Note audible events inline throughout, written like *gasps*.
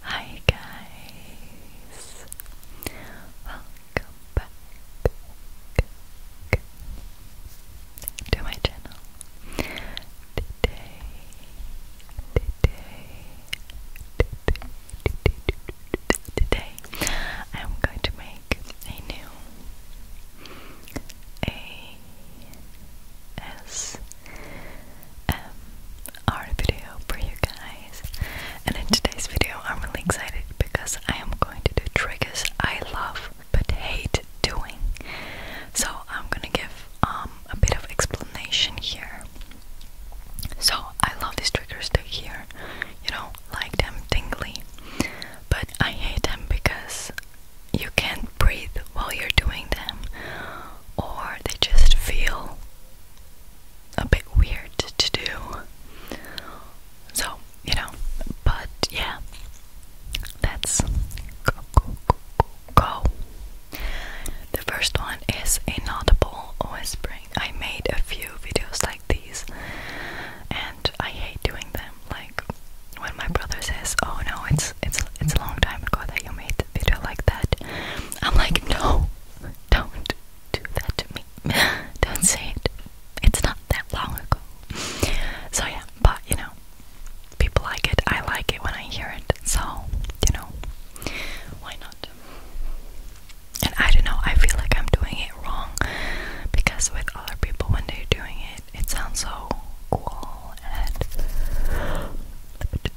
Hi guys, welcome back to my channel. Today, today, today, I'm going to make a new A S M art video for you guys. And in today's video, I'm really excited because I am going to do triggers I love but hate doing. So I'm gonna give um, a bit of explanation here. So I love these triggers to hear, you know, like them tingly, but I hate them because you can't breathe while you're doing them or they just feel a bit weird to do. So, you know, but yeah, let go. go, go, go. The first one is inaudible whispering. I made a few videos like these, and I hate doing them. Like, when my brother says, Oh no, it's it's it's a long time ago that you made the video like that. I'm like, no, don't do that to me. *laughs* don't say it. It's not that long ago. So yeah, but you know, people like it. I like it when I hear it. So you know, why not? And I don't know. I feel like I'm doing it wrong because with other people, when they're doing it, it sounds so cool and. *gasps*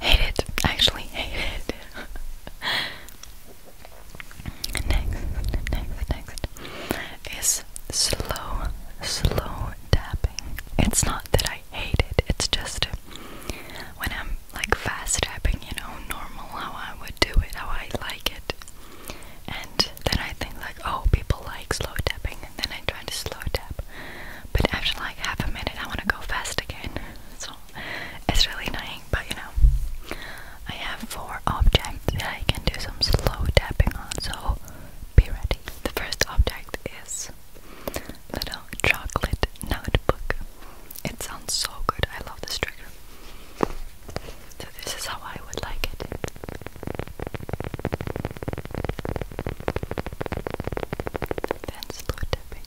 Hate actually hate next, next, next is slow, slow tapping. It's not that I I hate it. It's just when I'm like fast tapping, you know, normal how I would do it, how I like it. And then I think like, oh, people like slow tapping, and then I try to slow tap. But after like half a minute, I want to go fast again. So it's really annoying, but you know, I have four objects that I can do some slow tapping on. So be ready. The first object is little chocolate notebook. It sounds so good. I love this trigger. So this is how I would like it. Then slow tapping.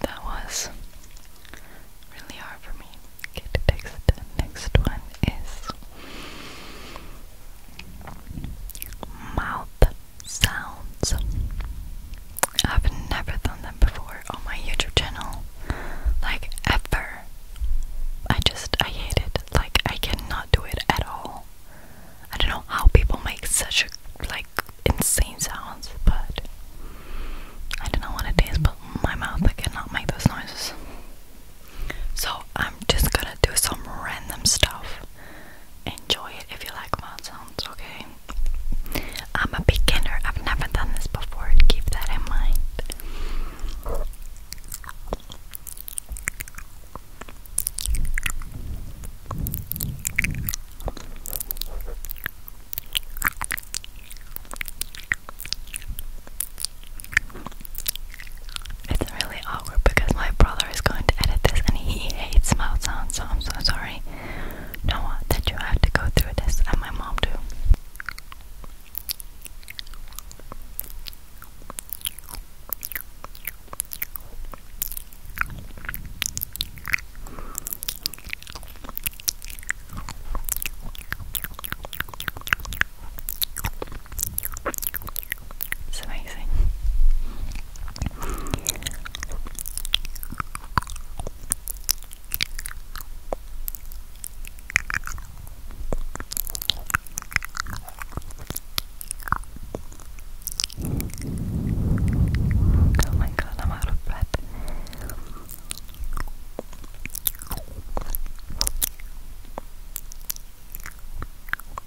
That was really hard for me. Okay, the next, one is mouth sounds. I've never done them before on my YouTube channel. Like ever. I just I hate it. Like I cannot do it at all. I don't know how people make such a, like insane sounds, but I don't want to dance. but my mouth I cannot make those noises. So I'm just gonna do some random stuff. Enjoy it if you like mouth sounds, okay? I'm a beginner. I've never done this before. Keep that in mind. It's really awkward because my brother is going to edit this and he hates mouth sounds, so I'm so sorry know that you have to go through this, and my mom too. It's amazing. Oh my god, I'm out of breath.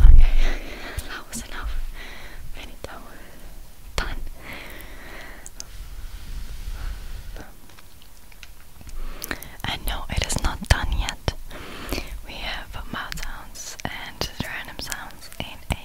Okay, *laughs* that was enough. Finito. Done. And no, it is not done yet. We have mouth sounds and random sounds balls in a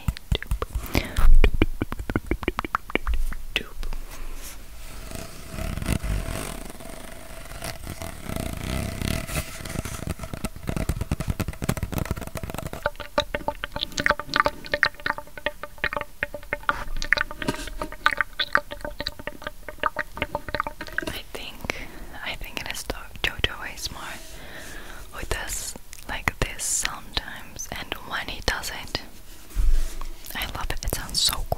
I think I think it is Jojo Smart who does like this sometimes, and when he does not I love it, it sounds so cool.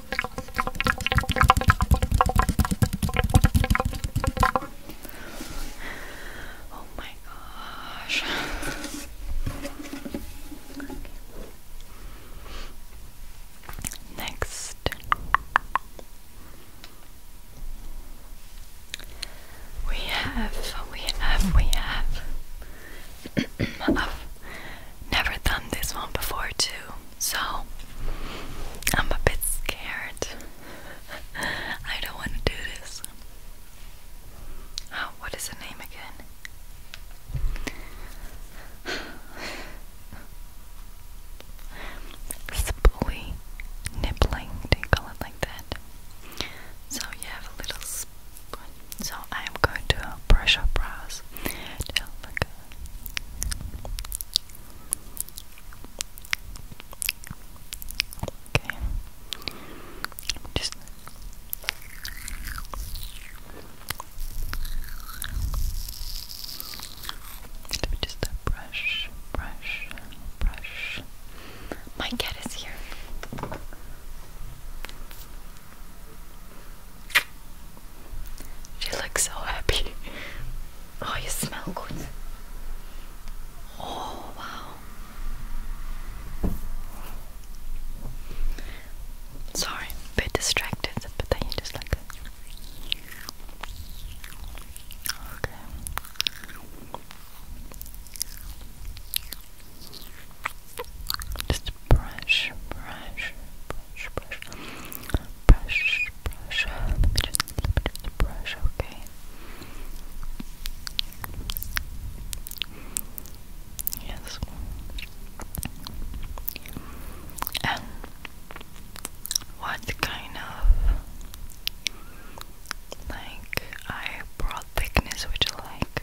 Oh my gosh. Next. *clears throat* We have, we have, we have of *clears throat* never done this one before too, so I'm a bit scared. *laughs* I don't want to do this. Oh, what is the name again? *sighs* Spooey nibbling, they call it like that. So you have a little so I am going to brush up brows. They'll Okay. Just let me brush, brush, brush. My cat is here. She looks so happy. *laughs* Oh, you smell good. Oh, wow. Sorry, bit distracted, but then you just like that. Okay. Just brush, brush, brush, brush, brush, brush. Let me just, let me just brush, okay? Yes. And what kind of like eyebrow thickness would you like?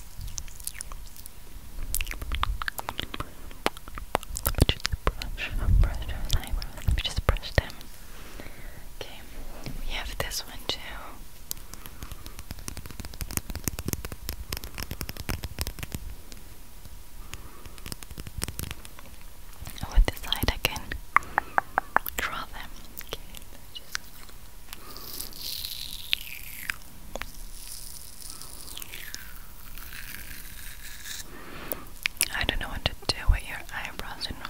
Let me just brush, brush those eyebrows. Let me just brush them. Okay, we have this one too. with this side, I draw them. Okay, I don't know what to do with your eyebrows, and all.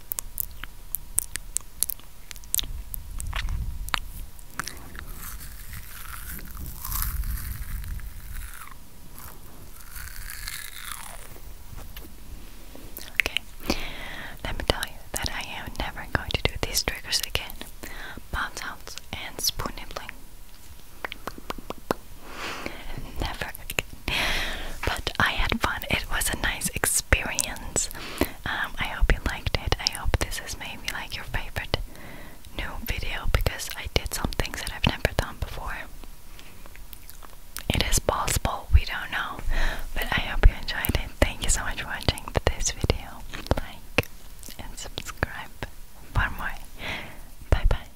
Okay, let me tell you that I am never going to do these triggers again. Mouth and spoon nibbling. Never But I had fun. It was a nice experience. Um, I hope you liked it. I hope this is maybe like your favorite new video because I did some things that I've never done before. It is possible, we don't know. But I hope you enjoyed it. Thank you so much for watching this video. Like and subscribe for more. Bye bye.